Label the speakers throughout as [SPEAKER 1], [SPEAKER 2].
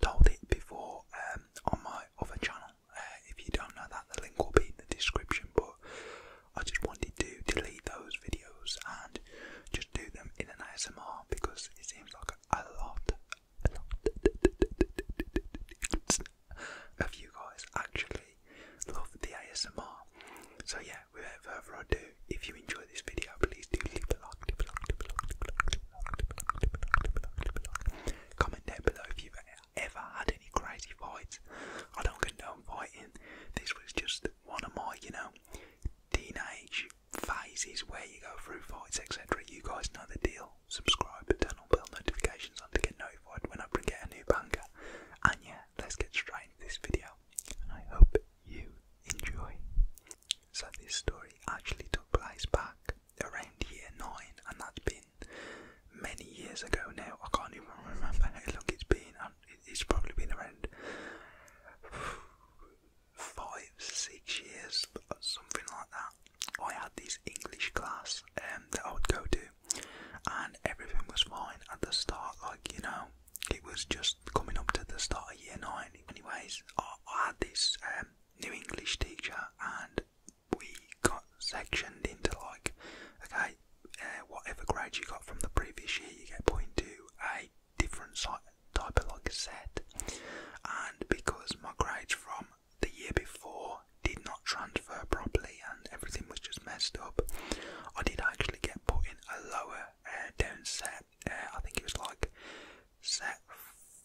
[SPEAKER 1] told it before um, on my other channel. Uh, if you don't know that, the link will be in the description. But I just wanted to delete those videos and just do them in an ASMR because it seems like a lot, a lot of you guys actually love the ASMR. So yeah, without further ado, if you enjoy enjoy this video, please do leave a like, Comment down below if you've ever had any crazy fights. I don't condone fighting. This was just one of my, you know, teenage phases where you go through fights, etc. You guys know the deal. Subscribe, turn on bell notifications on to get notified when I bring out a new banger. And yeah, let's get straight into this video. I hope you enjoy. So this story actually took place back around year nine, and that's been many years ago now. I can't even remember how long it's been. It's probably been around five, six years, something like that. I had this English class um, that I would go to, and everything was fine at the start. Like you know, it was just coming up to the start of year nine. Anyways, I, had this um, new English teacher, and we got sectioned into like, okay, uh, whatever grade you got from the previous year, you get put into a different type of like set. And because my grades from the year before did not transfer properly and everything was just messed up, I did actually get put in a lower uh, down set uh, I think it was like set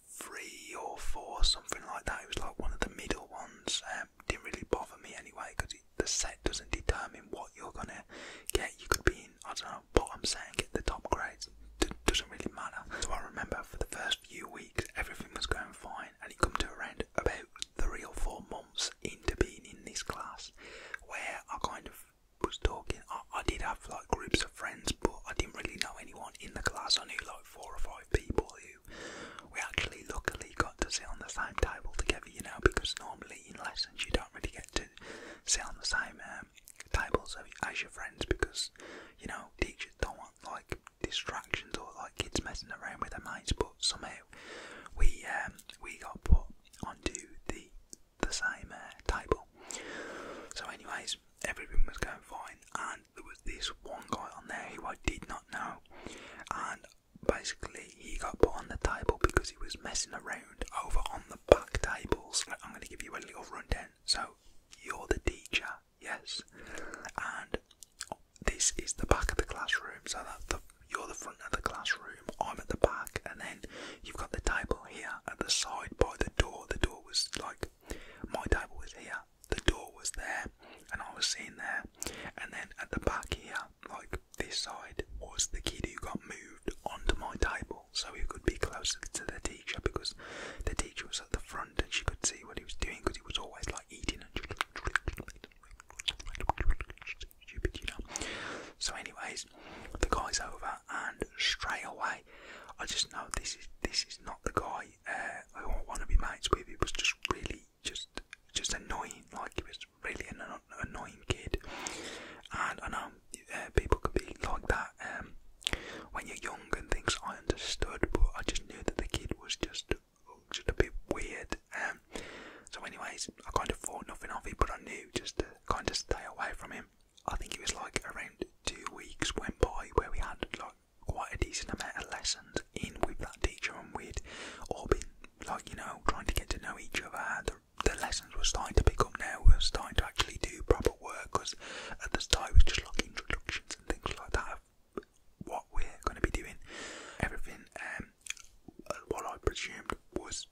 [SPEAKER 1] three or four, something like that. It was like one of the middle ones. Um, didn't really bother me anyway because the set doesn't determine what you're gonna get. You could be in I don't know what I'm saying. get the top grades. D doesn't really matter. So I remember for the first few weeks everything was going fine, and you come to around about three or four months into being in this class where I kind of was talking, I, did have like groups of friends, but I didn't really know anyone in the class. I knew like four or five people who we actually luckily got to sit on the same table together, you know, because normally in lessons you don't really get to sit on the same um, tables as your friends because you know teachers don't want like distractions or like kids messing around with their mates. But somehow we um, we got put onto the the same uh, table. So, anyways, everything was going fine, and there was this one guy on there who I did not know, and basically he got put on the table because he was messing around over on the back tables. I'm going to give you a little rundown. So you're the teacher, yes, and this is the back of the classroom. So that you're the front of the classroom. I'm at the back, and then you've got the table here at the side by the door. The door was like my table was here, the door was there, and I was sitting there, and then at the back here, like this side, was the kid who got moved onto my table so he could be closer to the teacher because the teacher was at the front and she could see what he was doing because he was always like eating and stupid, you know. So, anyways, the guy's over and stray away I just know this is this is not the guy uh, I want to be mates with. It was just really just just annoying. Like he was really an annoying kid. And I know uh, people can be like that um, when you're young and things. I understood, but I just knew that the kid was just just a bit weird. Um. so, anyways, I kind of thought nothing of him, but I knew just to kind of stay away from him. I think it was like around two weeks went by where we had like quite a decent amount of lessons in with that teacher, and we'd all been like you know trying to get to know each other. The, the lessons were starting to pick up now. We are starting to actually do proper work because at the start it was just like introductions and things like that. what we're going to be doing, everything. Um, uh, what I presumed was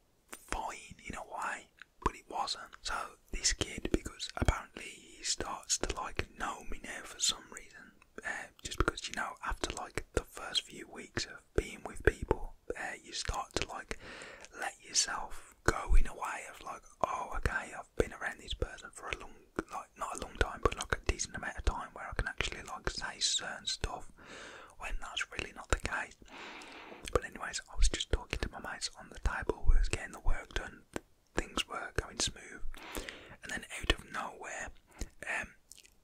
[SPEAKER 1] fine in a way but it wasn't. So this kid, because apparently he starts to like know me now for some reason, uh, just because you know after like the first few weeks of being with people, uh, you start to like let yourself go in a way of like, oh okay, I've been around this person for a long, like not a long time, but like a decent amount of time where I can actually like say certain stuff when that's really not the case. But anyways, I was just talking to my mates on the table, we was getting the work done, things were going smooth, and then out of nowhere, um,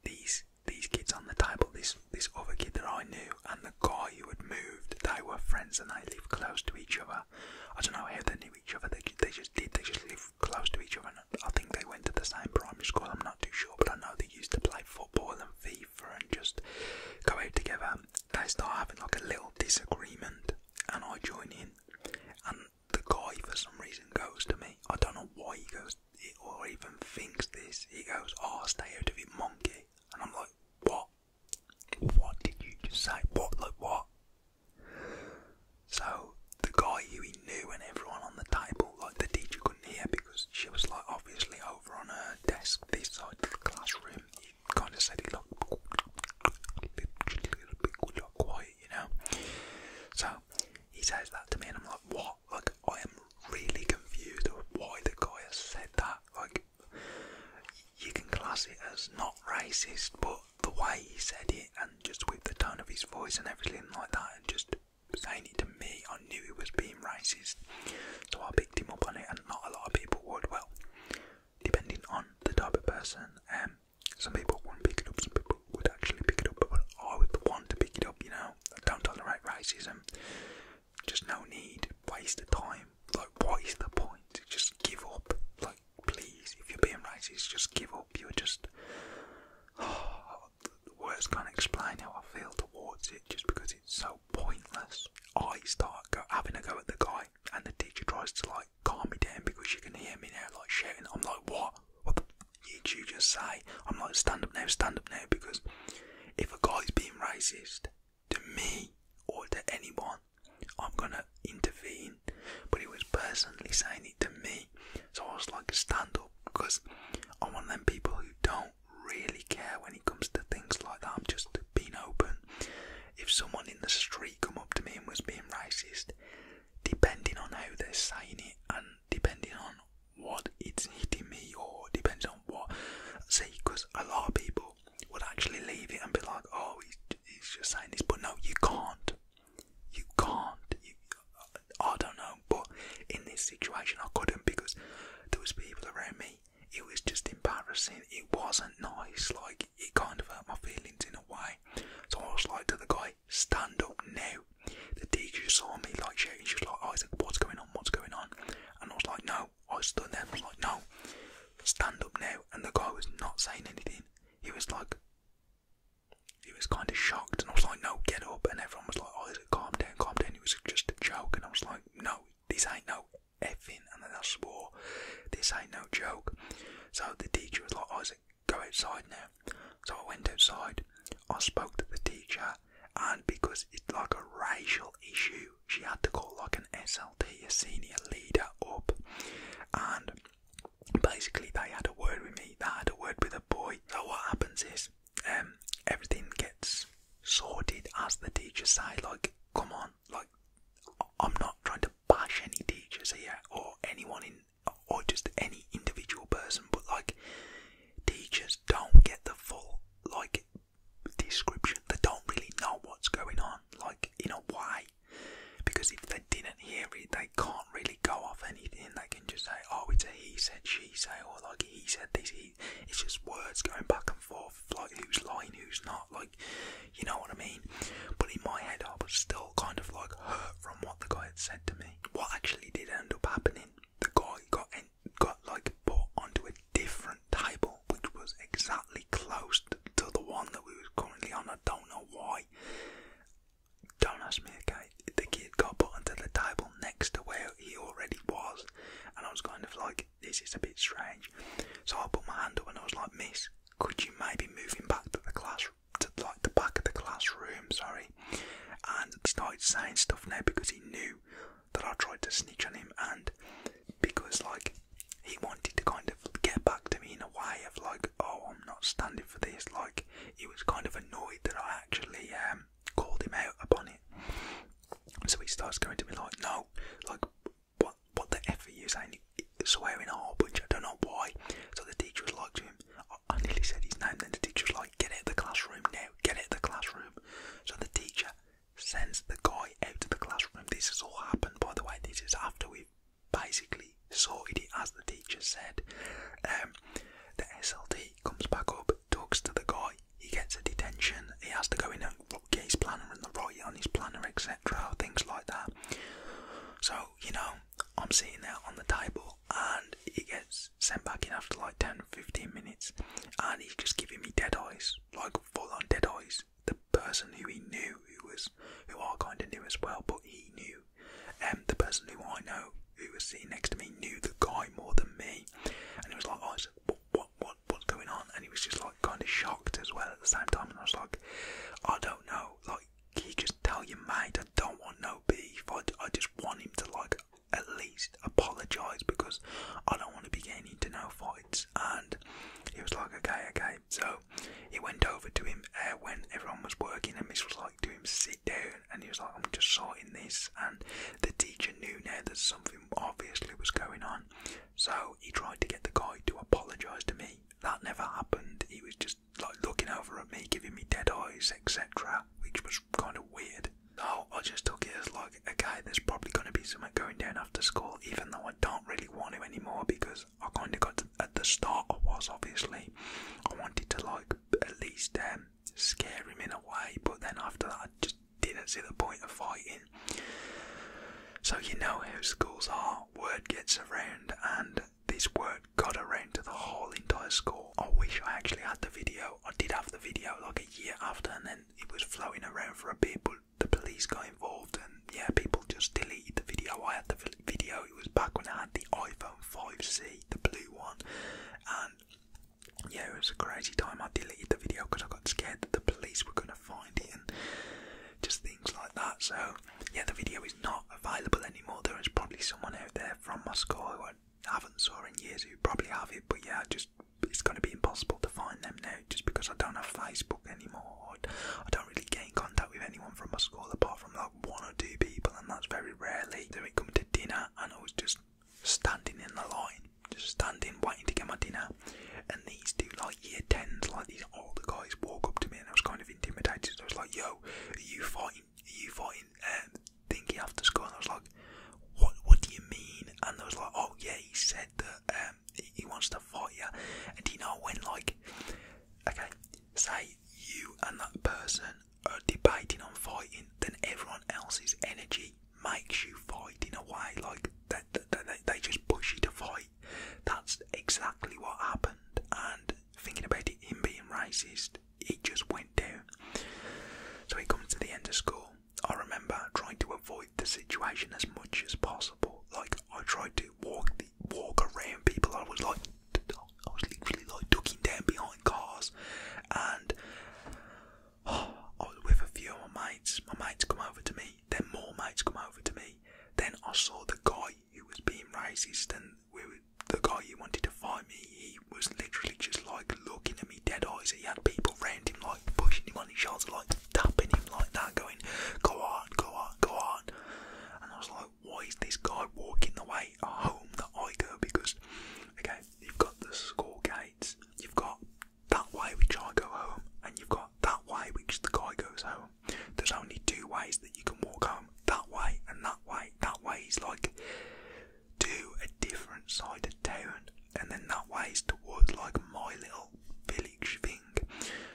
[SPEAKER 1] these these kids on the table, this this other kid that I knew and the guy who had moved, they were friends and they live close to each other. I don't know how they knew each other. They they just did. They just live close to each other. I think they went to the same primary school. I'm not too sure, but I know they used to play football and FIFA and just go out together they start having like a little disagreement, and I join in. And the guy, for some reason, goes to me. I don't know why he goes or even thinks this. He goes, "Oh, stay out of it, monkey." And I'm like, "What? What did you just say? What? Like what?" So the guy who he knew and everyone on the table, like the teacher couldn't hear because she was like obviously over on her desk this side of the classroom kind of said he looked literally a bit quiet, you know. So he says that to me, and I'm like, what? Like, I am really confused why the guy has said that. Like, you can class it as not racist, but the way he said it, and just with the tone of his voice and everything like that, and just saying it to me, I knew he was being racist. So I picked him up on it, and not a lot of people would. Well, depending on the type of person. Um, some people won't pick it up, some people would actually pick it up, but I would want to pick it up, you know. don't right racism. Just no need, waste of time. Like, what is the point? Just give up. Like, please, if you're being racist, just give up. You're just. Oh, words can't explain how I feel towards it just because it's so pointless. I start go, having a go at the guy and the teacher tries to like calm me down because she can hear me now, like shouting. I'm like, what? What the did you just say? I'm like, stand up now, stand up now, because if a guy is being racist to me or to anyone, I'm gonna intervene. But he was personally saying it to me, so I was like, stand up, because I'm one of them people who don't really care when it comes to things like that. I'm just been open. If someone in the street come up to me and was being racist, depending on how they're saying it and depending on what it's hitting me or depends on what say because a lot of people would actually leave it and be like oh he's, just saying this but no you can't you can't i don't know but in this situation i couldn't because there was people around me it was just embarrassing. It wasn't nice, like it kind of hurt my feelings in a way. So I was like to the guy, stand up now. The teacher saw me like shaking. She's like, oh, what's going on? What's going on? And I was like, no. I stood there and was like, no, stand up now. And the guy was not saying anything. He was like, he was kind of shocked. And I was like, no, get up. And everyone was like, oh, it calm down, calm down. It was just a joke. And I was like, no, this ain't no effing, and then I swore, this ain't no joke. So the teacher was like, "I Isaac, go outside now. So I went outside, I spoke to the teacher, and because it's like a racial issue, she had to call like an SLT, a senior leader, up. And basically, they had a word with me, they had a word with a boy. So what happens is, um, everything gets sorted as the teacher say, like, come on, like, I'm not trying to bash any teachers here or anyone in or just any individual person, but like teachers don't get the full like description. They don't really know what's going on, like in a way. Because if they didn't hear it, they can't really go off anything. They can just say, "Oh, it's a he said, she said," or like he said this, he it's just words going back and forth, like who's lying, who's not, like you know what I mean. But in my head, I was still kind of like hurt from what the guy had said to me. What actually did end up happening? The guy got got like put onto a different table, which was exactly close to the one that we were currently on. I don't know why. Don't ask me, okay? The kid got put onto the table next to where he already was, and I was kind of like, this is a bit strange. So I put my hand up and I was like, Miss, could you maybe move him back to the class, to like the back of the classroom, sorry? And started saying stuff now because he knew that I tried to snitch on him and because like he wanted to kind of get back to me in a way of like, oh, I'm not standing for this. Like he was kind of annoyed that I actually um, called him out upon it. So he starts going to me like, no, like what what the F are you saying? Swearing a whole bunch, I don't know why. So the teacher was like to him, I nearly said his name, then the teacher was like, get out of the classroom now, get out of the classroom. So the teacher sends the guy out of the classroom. This has all happened, by the way, this is after we've basically sorted it as the teacher said. Um, the SLT comes back up, talks to the guy, he gets a detention, he has to go in and get his planner and the write on his planner, etc., things like that. So, you know, I'm sitting there on the table and he gets sent back in after like 10 15 minutes and he's just giving me dead eyes, like full on dead eyes. The person who he knew, who was, who I kind of knew as well, but he knew, and um, the person who I know who was sitting next to me knew the guy more than me, and he was like, I said, what, what, what's going on?" And he was just like kind of shocked as well at the same time. And I was like, "I don't know. Like, he just tell you mate I don't want no beef. I, I just want him to like at least apologise because I don't want to be getting into no fights." And he was like, "Okay, okay." So he went over to him uh, when everyone was working, and this was like, "Do him sit down." And he was like, "I'm just sorting this." And the teacher knew now that something obviously was going on, so he tried to get the guy to apologise to me. That never happened. He was just like looking over at me, giving me dead eyes, etc., which was kind of weird. So I just took it as like, a guy that's probably going to be someone going down after school, even though I don't really want him anymore because I kind of got at the start, I was obviously, I wanted to like at least um, scare him in a way, but then after that, I just didn't see the point of fighting. So you know how schools are. Word gets around, and this word got around to the whole entire school. I wish I actually had the video. I did have the video like a year after, and then it was floating around for a bit, but the police got involved, and yeah, people just deleted the video. I had the video. It was back when I had the iPhone 5C, the blue one, and yeah, it was a crazy time. I deleted the video because I got scared that the police were gonna find it and just things like that. So yeah, the video is not available anymore. There is probably someone out there from Moscow who I haven't saw in years who probably have it, but yeah, just it's going to be impossible to find them now just because I don't have Facebook anymore. I don't really get in contact with anyone from my school apart from like one or two people, and that's very rarely. They would come to dinner, and I was just standing in the line just standing waiting to get my dinner and these two like year 10s like these older guys walk up to me and I was kind of intimidated I was like yo you fighting you fighting um, thinking after school and I was like what what do you mean and I was like oh yeah he said that um, he wants to fight you and do you know when like okay say you and that person are debating on fighting then everyone else's energy makes you fight in a way. Like they, they, just push you to fight. That's exactly what happened. And thinking about it, him being racist, it just went down. So he comes to the end of school. I remember trying to avoid the situation as much as possible. Like I tried to walk the, walk around people. I was like, I was literally like ducking down behind cars, and I was oh, with a few of my mates. My mates come over to me. Then more mates come over to me. Then I saw the guy who was being racist, and the guy who wanted to fight me. He was literally just like looking at me dead eyes. He had people around him, like pushing him on his shoulders, like tapping him like that, going, "Go on, go on, go on." And I was like, "Why is this guy walking the way home that I go?" Because okay, you've got the school gates, you've got that way which I go home, and you've got that way which the guy goes home. There's only two ways that you can walk home that way and that way. That way is like to a different side of town, and then that way is towards like my little village thing.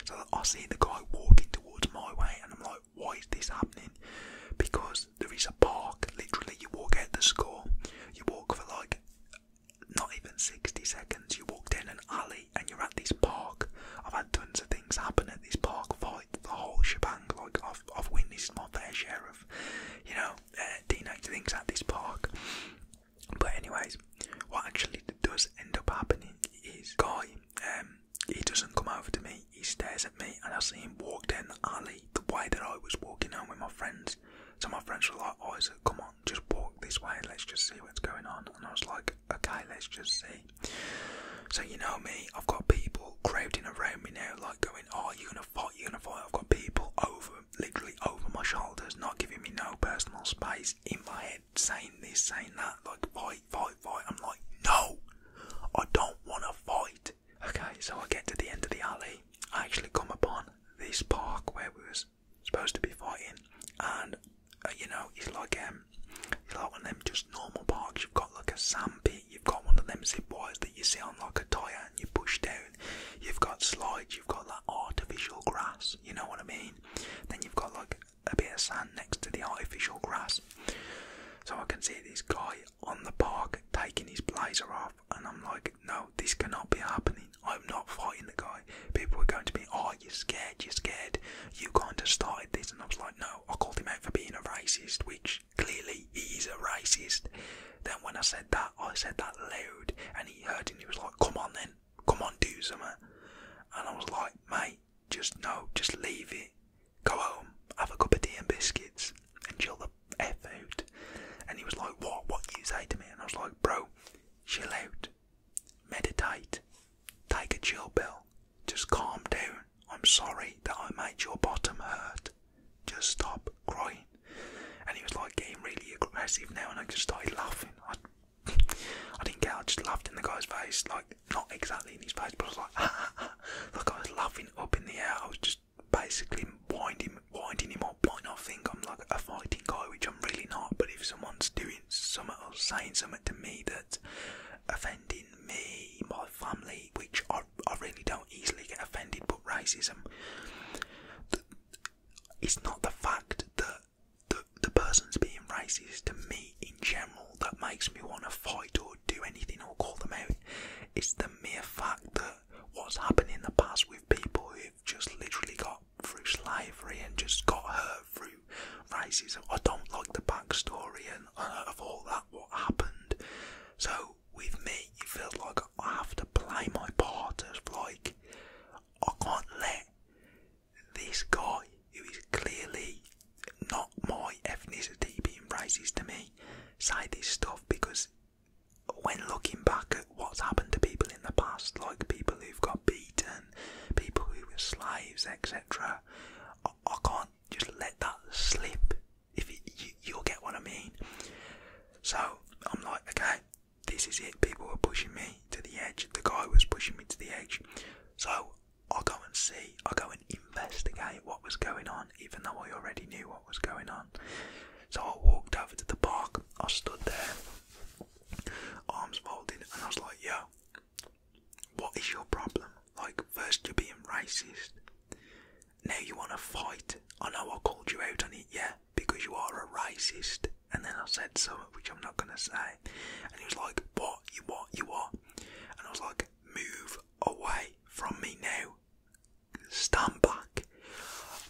[SPEAKER 1] So I see the guy walking towards my way, and I'm like, why is this happening? Because there is a park, literally, you walk out the school, you walk for like not even 60 seconds, you walked in an alley and you're at this park. I've had tons of things happen at this park for the whole shebang. Like, I've, I've witnessed my fair share of, you know, teenage uh, things at this park. But, anyways, what actually does end up happening is Guy, um, he doesn't come over to me, he stares at me, and I see him walk down the alley the way that I was walking home with my friends. So, my friends were like, Isaac, oh, come on, just walk this way, let's just see what's going on. And I was like, okay, let's just see. So, you know me, I've got people crowding around me now, like going, oh, you're gonna fight, you're gonna fight. I've got people over, literally over my shoulders, not giving me no personal space in my head, saying this, saying that, like, fight, fight, fight. I'm like, no, I don't wanna fight. Okay, so I get to the end of the alley. I actually come upon this park where we was supposed to be fighting, and uh, you know it's like um, he's like one of them just normal parks. You've got like a sandpit, you've got one of them zip wires that you see on like a tire and you push down. You've got slides, you've got like artificial grass. You know what I mean? Then you've got like a bit of sand next to the artificial grass. So I can see this guy on the park taking his blazer off and I'm like, no, this cannot be happening. I'm not fighting the guy. People are going to be, oh, you're scared, you're scared. You can't have started this, and I was like, no. I called him out for being a racist, which clearly he is a racist. Then when I said that, I said that loud, and he heard, and he was like, come on then, come on, do something. And I was like, mate, just no, just leave it. Go home, have a cup of tea and biscuits, and chill the F out. And he was like, What? What you say to me? And I was like, Bro, chill out, meditate, take a chill pill, just calm down. I'm sorry that I made your bottom hurt. Just stop crying. And he was like getting really aggressive now, and I just started laughing. I, I didn't care, I just laughed in the guy's face, like not exactly in his face, but like, like I was laughing up in the air. I was just basically him, winding, winding him up think I'm like a fighting guy, which I'm really not, but if someone's doing something or saying something to me that's offending me, my family, which I, I really don't easily get offended, but racism, is not the fact that the, the person's being racist to me in general that makes me want to fight or do anything or call them out. It's the mere fact that what's happened in the past with people who've just literally got through slavery and just got hurt through racism. I don't like the backstory and uh, of all that what happened. So with me, it feels like I have to play my part as like I can't let this guy who is clearly not my ethnicity being racist to me say this stuff because when looking back at what's happened to people in the past, like people who've got beaten, people who were slaves, etc., I, can't just let that slip. If you, you'll get what I mean. So I'm like, okay, this is it. People were pushing me to the edge. The guy was pushing me to the edge. So I go and see. I go and investigate what was going on, even though I already knew what was going on. So I walked over to the park. I stood there arms folded, and I was like, yo, what is your problem? Like, first you're being racist, now you want to fight. I know I called you out on it, yeah, because you are a racist. And then I said something which I'm not gonna say, and he was like, what, you what, you what? And I was like, move away from me now. Stand back.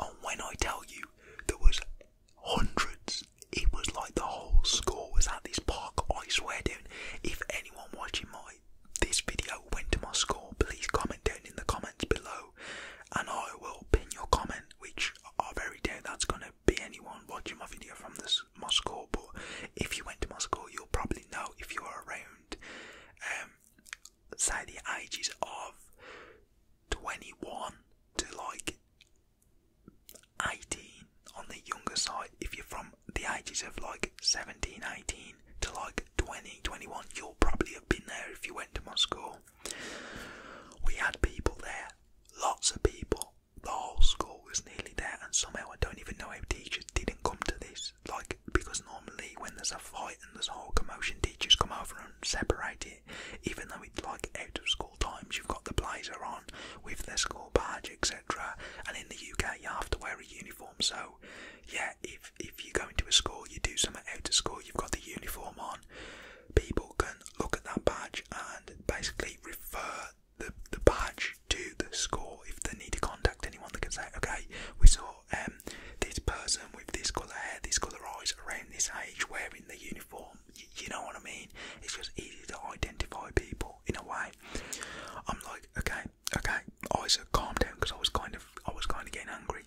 [SPEAKER 1] And when I tell you there was hundreds. It was like the whole school was at this park. I swear, dude. If anyone watching my this video went to my school, please comment down in the comments below, and I will pin your comment. Which are very doubt that's gonna be anyone watching my video from this Moscow. But if you went to Moscow, you'll probably know if you are around. Um, say the ages of 21 to like 18 on the younger side if you're from the ages of like 17 18 to like twenty, you'll probably have been there if you went to my school we had people there lots of people the whole school was nearly there and somehow i don't even know if teachers didn't come to this like because normally when there's a fight and there's a whole commotion teachers come over and separate it, even though it's like out of school times. You've got the blazer on with the school badge, etc. And in the UK, you have to wear a uniform. So, yeah, if if you go into a school, you do something out of school, you've got the uniform on. People can look at that badge and basically refer the the badge to the school if they need to contact anyone. that can say, okay, we saw um this person with this colour hair, this colour eyes around this age wearing the uniform. you know what I mean? It's just easy to identify people in a way. I'm like, okay, okay, Isaac, calm down because I was kind of, I was kind of getting angry.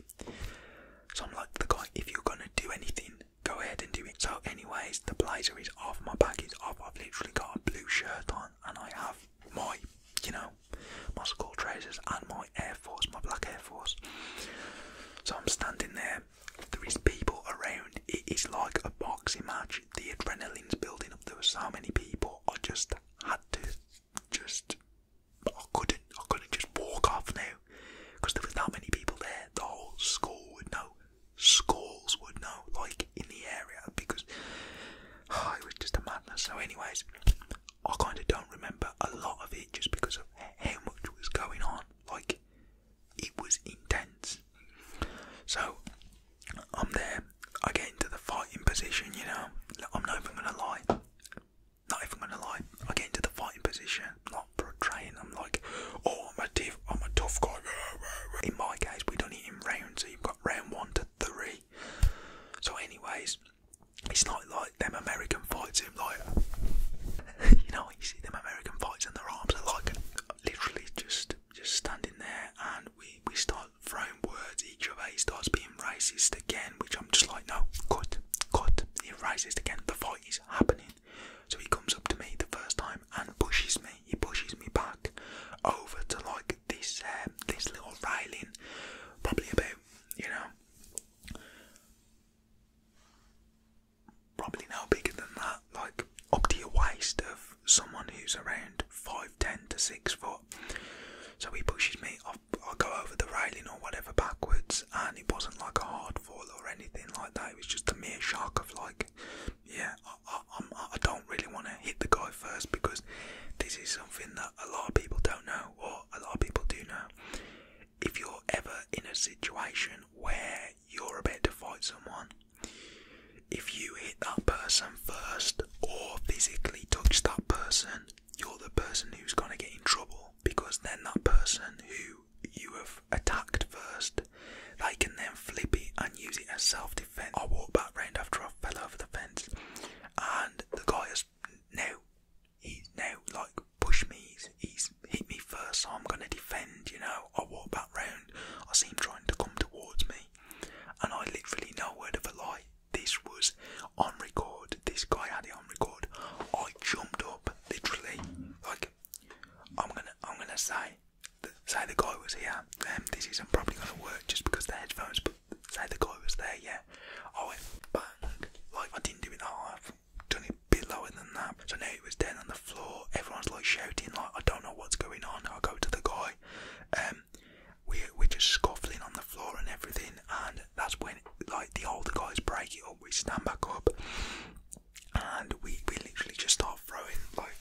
[SPEAKER 1] So I'm like, the guy, if you're gonna do anything, go ahead and do it. So, anyways, the blazer is off, my bag is off. I've literally got a blue shirt on, and I have my, you know, my school trousers and my Air Force, my black Air Force. So I'm standing there. There is people around. It is like a boxing match. The adrenaline's building up. There were so many people. I just had to, just I couldn't. I couldn't just walk off now because there was that many people there. The whole school would know. Schools would know, like in the area, because I was just a madness. So, anyways, I kind of don't remember a lot of it just because of how much was going on. Like, it was intense. So, I'm there. I get into the fighting position, you know. I'm not even gonna lie. Not even gonna lie. I get into the fighting position, not portraying. I'm like, oh, I'm a div, I'm a tough guy. In my case, we don't it in rounds, so you've got round one to three. So, anyways, it's not like them American fights him like you know you see them American fights and their arms are like literally just just standing there and we we start throwing words each of He starts being racist again, which I'm just like no cut cut. He's racist again. The fight is happening. So he comes up to me the first time and pushes me. He pushes me back over to like this um, this little railing, probably about you know probably no bigger than that, like up to your waist of someone who's around five ten to six foot. So he pushes me. I I go over the railing or whatever backwards, and it wasn't like a hard fall or anything like that. It was just a mere shock of like, yeah, I don't really want to hit the guy first because this is something that a lot of people don't know or a lot of people do know if you're ever in a situation where you're about to fight someone, if you hit that person first or physically touch that person, you're the person who's going to get in trouble because then that person who you have attacked first, they can then flip it and use it as self defense. I walked back round after I fell over the fence and the guy has now he's now like push me, he's, he's hit me first, I'm going to defend, you know. I walk back round, I seem trying to come towards me, and I literally, know word of a lie, this was on record, this guy had it on record. I jumped up, literally, like, I'm going to I'm gonna say, say the guy was here, um, this isn't probably going to work just because the headphones, but say the guy was there, yeah. I went bang, like I didn't do it that half done it below in the nap. So now it was down on the floor. Everyone's like shouting, like I don't know what's going on. I go to the guy. Um, we we're just scuffling on the floor and everything. And that's when like the older guys break it up. We stand back up, and we we literally just start throwing like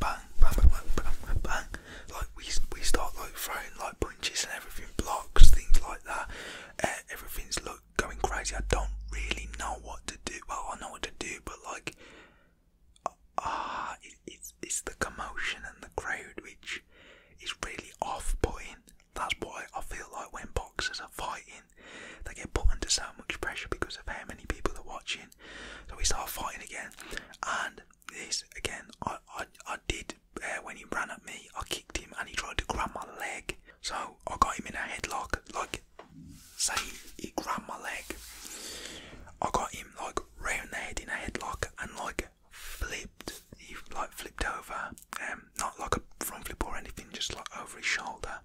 [SPEAKER 1] bang bang bang bang bang. Like we we start like throwing like punches and everything, blocks, things like that. Uh, everything's like going crazy. I don't really know what to do. Well, I know what to do, but like, ah, it's it's the commotion and the crowd which is really off-putting. That's why I feel like when boxers are fighting, they get put under so much pressure because of how many people are watching. So we start fighting again, and this again, I I, I did uh, when he ran at me, I kicked him and he tried to grab my leg. So I got him in a headlock, like saying he grabbed my leg. I got him like round the head in a headlock and like flipped. He like flipped over, um, not like a front flip or anything, just like over his shoulder.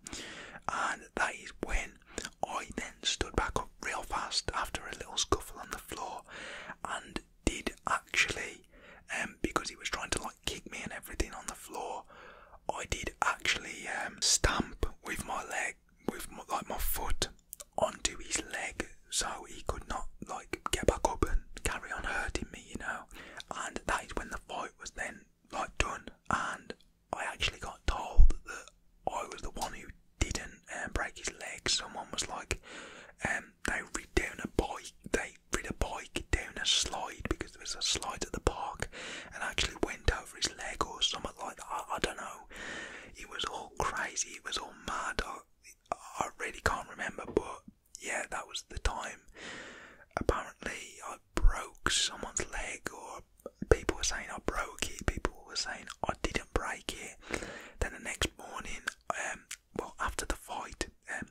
[SPEAKER 1] And that is when I then stood back up real fast after a little scuffle on the floor and did actually, um, because he was trying to like kick me and everything on the floor. I did actually um, stamp with my leg, with my, like my foot, onto his leg, so he could not like get back up and carry on hurting me, you know. And that is when the fight was then like done, and I actually got told that I was the one who didn't um, break his leg. Someone was like, um, they ripped down a boy." they I a bike down a slide because there was a slide at the park and actually went over his leg or something like I, don't know. It was all crazy, it was all mad. I, really can't remember, but yeah, that was the time. Apparently, I broke someone's leg, or people were saying I broke it, people were saying I didn't break it. Then the next morning, um, well, after the fight, um,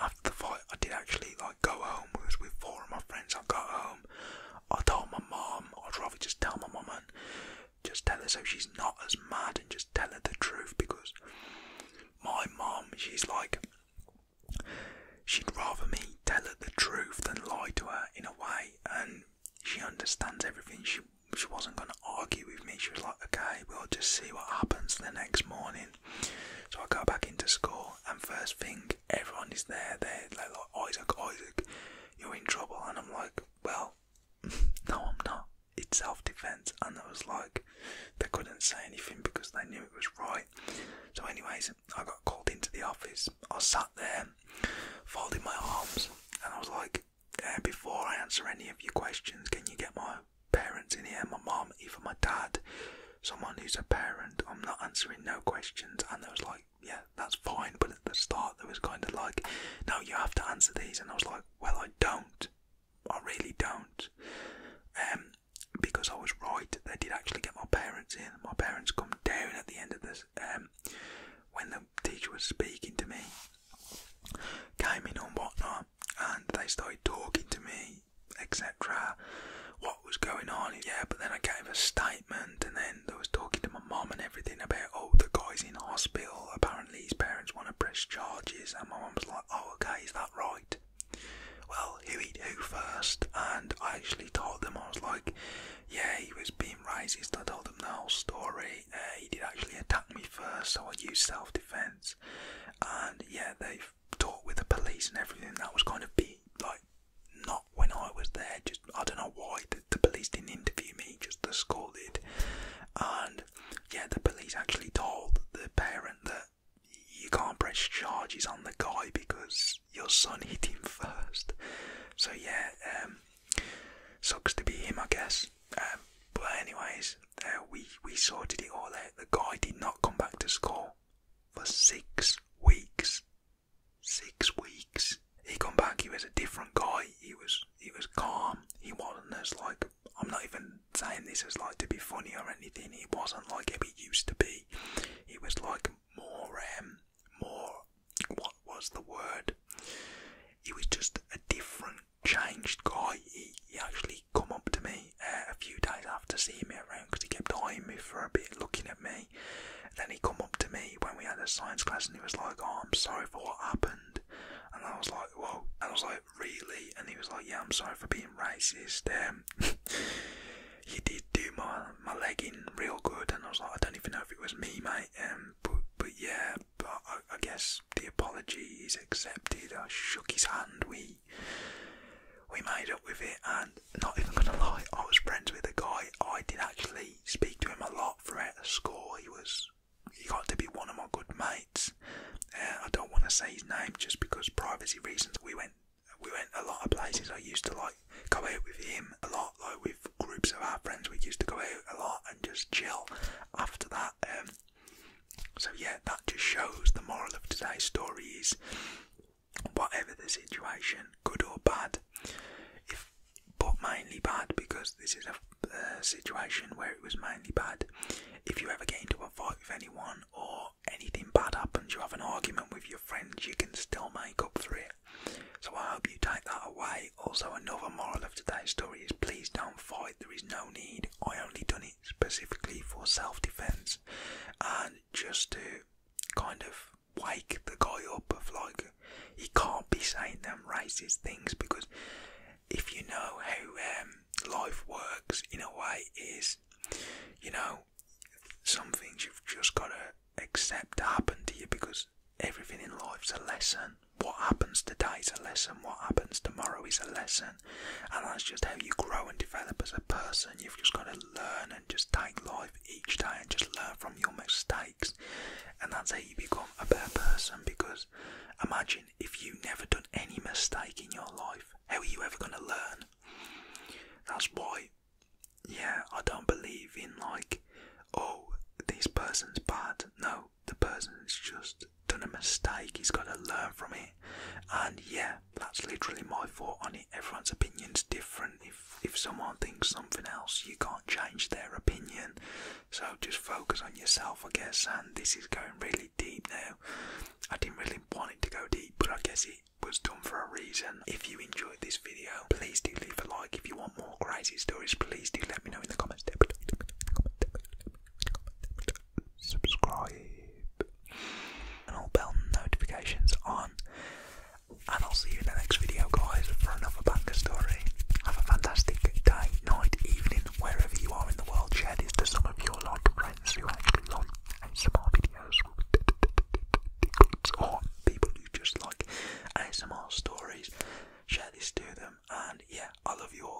[SPEAKER 1] after the fight, I did actually like go home. I was with four of my friends. I got home. I told my mom. I'd rather just tell my mom and just tell her so she's not as mad and just tell her the truth because my mom, she's like, she'd rather me tell her the truth than lie to her in a way, and she understands everything. She she wasn't going to argue with me. She was like, okay, we'll just see what happens the next morning. So I go back into school, and first thing, everyone is there. They're like, like Isaac, Isaac, you're in trouble. And I'm like, well, no, I'm not. It's self defense. And I was like, they couldn't say anything because they knew it was right. So, anyways, I got called into the office. I sat there, folding my arms, and I was like, before I answer any of your questions, can you get my parents in here, my mom, even my dad, someone who's a parent, I'm not answering no questions. And there was like, yeah, that's fine. But at the start, there was kind of like, no, you have to answer these. And I was like, well, I don't. I really don't. Um, because I was right, they did actually get my parents in. My parents come down at the end of this. Um, when the teacher was speaking to me, came in on whatnot, and they started talking to me, etc. What was going on? Yeah, but then I gave a statement, and then I was talking to my mum and everything about oh the guy's in hospital. Apparently his parents want to press charges, and my mum was like, oh okay, is that right? Well, who he who first? And I actually told them I was like, yeah, he was being racist. I told them the whole story. Uh, he did actually attack me first, so I used self defence. And yeah, they talk with the police and everything. That was going to be like not when I was there. Just I don't know why the, police didn't interview me. Just the school did, and yeah, the police actually told the parent that you can't press charges on the guy because your son hit him first. So yeah, um, sucks to be him, I guess. Um, but anyways, uh, we, we sorted it all out. The guy did not come back to school for six weeks. Six weeks. He come back, he was a different guy. He was he was calm. He wasn't as like I'm not even saying this as like to be funny or anything. He wasn't like him. he used to be. He was like more um more what was the word? He was just a different changed guy. He, actually come up to me uh, a few days after seeing me around because he kept eyeing me for a bit, looking at me. then he come up to me when we had a science class and he was like, "Oh, I'm sorry for what happened." And I was like, "Well," And I was like, "Really?" And he was like, "Yeah, I'm sorry for being racist. Um, he did do my my legging real good." And I was like, "I don't even know if it was me, mate." Um, but yeah, but I guess the apology is accepted. I shook his hand. We we made up with it and not even gonna lie, I was friends with a guy. I did actually speak to him a lot throughout the school. He was he got to be one of my good mates. Uh, I don't want to say his name just because privacy reasons. We went we went a lot of places. I used to like go out with him a lot, like with groups of our friends. We used to go out a lot and just chill. After that, um, so, yeah, that just shows the moral of today's story is whatever the situation, good or bad, if, but mainly bad because this is a situation where it was mainly bad. If you ever get into a fight with anyone or anything bad happens, you have an argument with your friends, you can still make up for it. So, I hope you take that away. Also, another moral of today's story is please don't fight, there is no need. I only done it specifically for self defense and just to kind of wake the guy up of like he can't be saying them racist things because if you know how um, life works in a way is you know some things you've just got to accept happen to you because everything in life's a lesson what happens today is a lesson what happens tomorrow is a lesson and that's just how you grow and develop as a person. You've just got to learn and just take life each day and just learn from your mistakes, and that's how you become a better person. Because imagine if you have never done any mistake in your life, how are you ever going to learn? That's why, yeah, I don't believe in like, oh, this person's bad. No, the person is just done a mistake, he's got to learn from it. And yeah, that's literally my thought on it. Everyone's opinion's different. If if someone thinks something else, you can't change their opinion. So just focus on yourself, I guess. And this is going really deep now. I didn't really want it to go deep, but I guess it was done for a reason. If you enjoyed this video, please do leave a like. If you want more crazy stories, please do let me know in the comments subscribe, and all bell notifications on. And I'll see you in the next video, guys, for another banger story. Have a fantastic day, night, evening, wherever you are in the world. Share this to some of your loved friends who actually like ASMR videos, or people who just like ASMR stories. Share this to them, and yeah, I love you all.